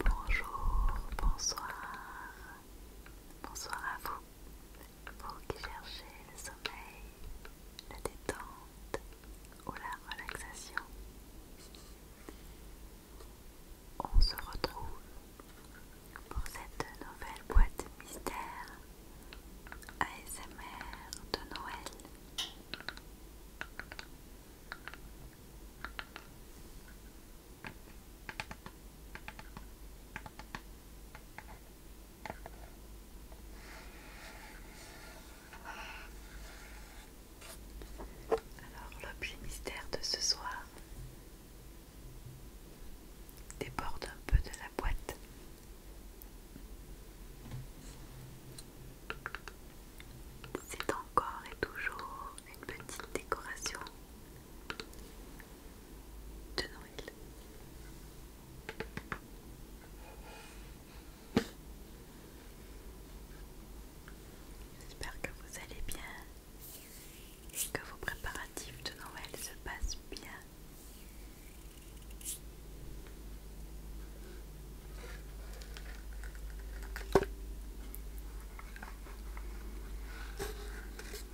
Bonjour, bonsoir, bonsoir à vous, vous qui cherchez le sommeil, la détente ou la relaxation. On se retrouve pour cette nouvelle boîte mystère ASMR de Noël. Alors l'objet mystère de ce soir déborde un peu de la boîte. C'est encore et toujours une petite décoration de Noël. J'espère que vous allez bien et que vos préparatifs de Noël se passent bien.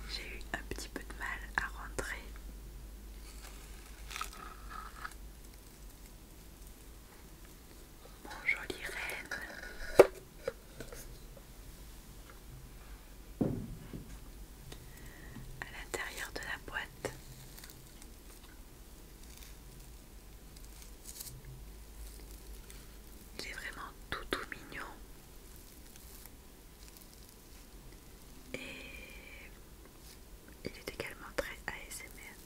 J'ai eu un petit peu de mal à rentrer. Mon joli reine. À l'intérieur de la boîte, il est vraiment tout tout mignon. Et il est également très ASMR.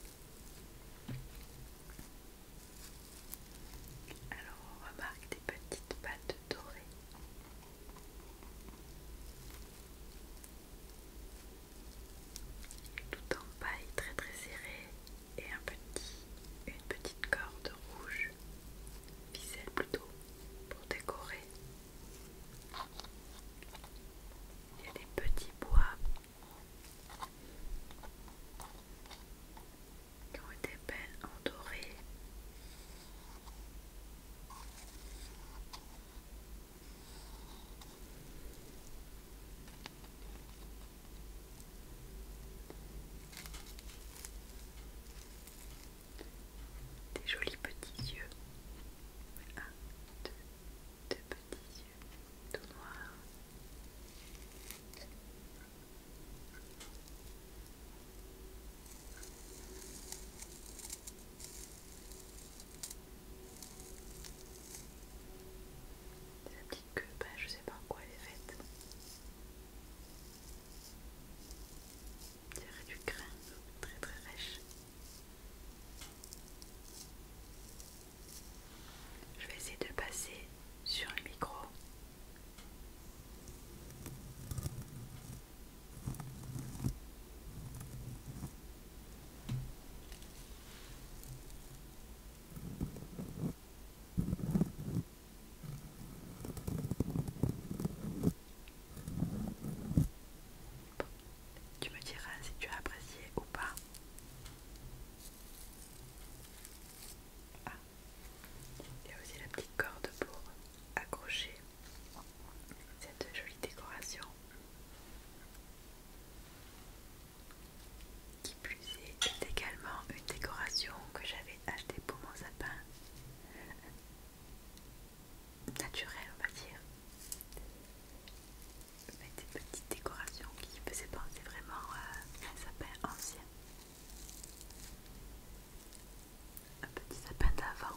Alors on remarque des petites pattes dorées tout en paille très très serré et un petit, une petite corde rouge, viselle plutôt, pour décorer. Il y a des petits bois qui ont été belles en des jolis petits yeux. Un, deux, deux petits yeux tout noirs. Sa petite queue, bah, je sais pas en quoi elle est faite. C'est du grain, très très Je vais essayer de passer sur le micro tu me diras si tu as apprécié ou pas. Ah, il y a aussi la petite corde pour accrocher cette jolie décoration. Qui plus est, également une décoration que j'avais achetée pour mon sapin naturel, on va dire. des petites décorations qui faisaient penser vraiment à un sapin ancien. Un petit sapin d'avant.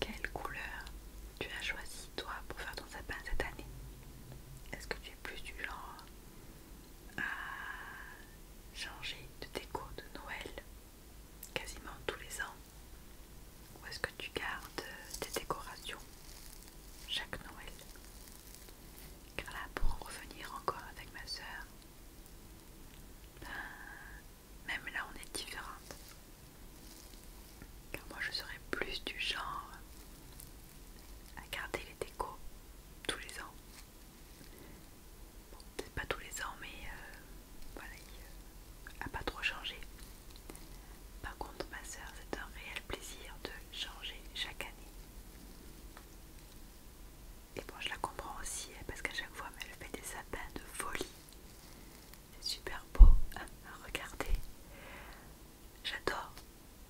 Quelle couleur tu as choisi toi pour faire ton sapin cette année Est-ce que tu es plus du genre à changer de déco de Noël quasiment tous les ans Ou est-ce que tu gardes tes décorations chaque Noël car là, pour revenir encore avec ma soeur, ben, même là, on est différentes. Car moi, je serais plus du genre à garder les décos tous les ans. Bon, peut-être pas tous les ans, mais euh, voilà, il n'a euh, pas trop changé. Par contre, ma soeur, c'est un réel plaisir de changer chaque année. Et bon, je la comprends aussi hein, parce qu'à chaque fois, elle fait des sapins de folie. C'est super beau hein, à regarder. J'adore,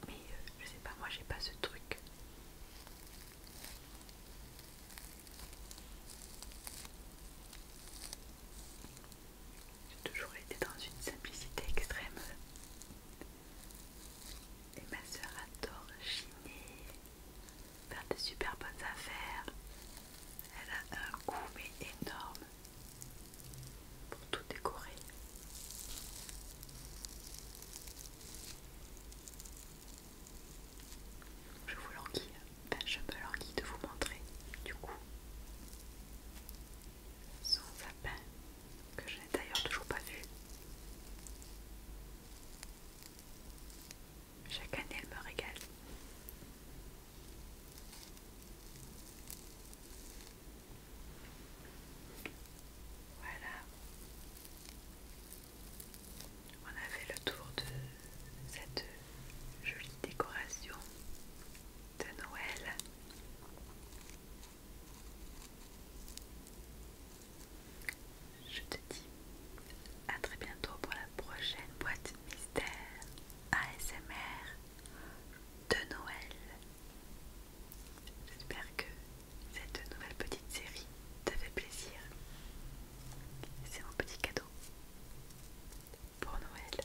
mais euh, je sais pas, moi j'ai pas ce truc. J'ai toujours été dans une simplicité extrême. Et ma soeur adore chiner, faire de super bonnes affaires. Elle a un goût mais énorme pour tout décorer. Je vous leur je me languis de vous montrer du coup son sapin que je n'ai d'ailleurs toujours pas vu. Chaque année, elle me régale. Voilà. On a fait le tour de cette jolie décoration de Noël. Je te dis à très bientôt pour la prochaine boîte mystère ASMR de Noël. J'espère que cette nouvelle petite série te fait plaisir. C'est mon petit cadeau pour Noël.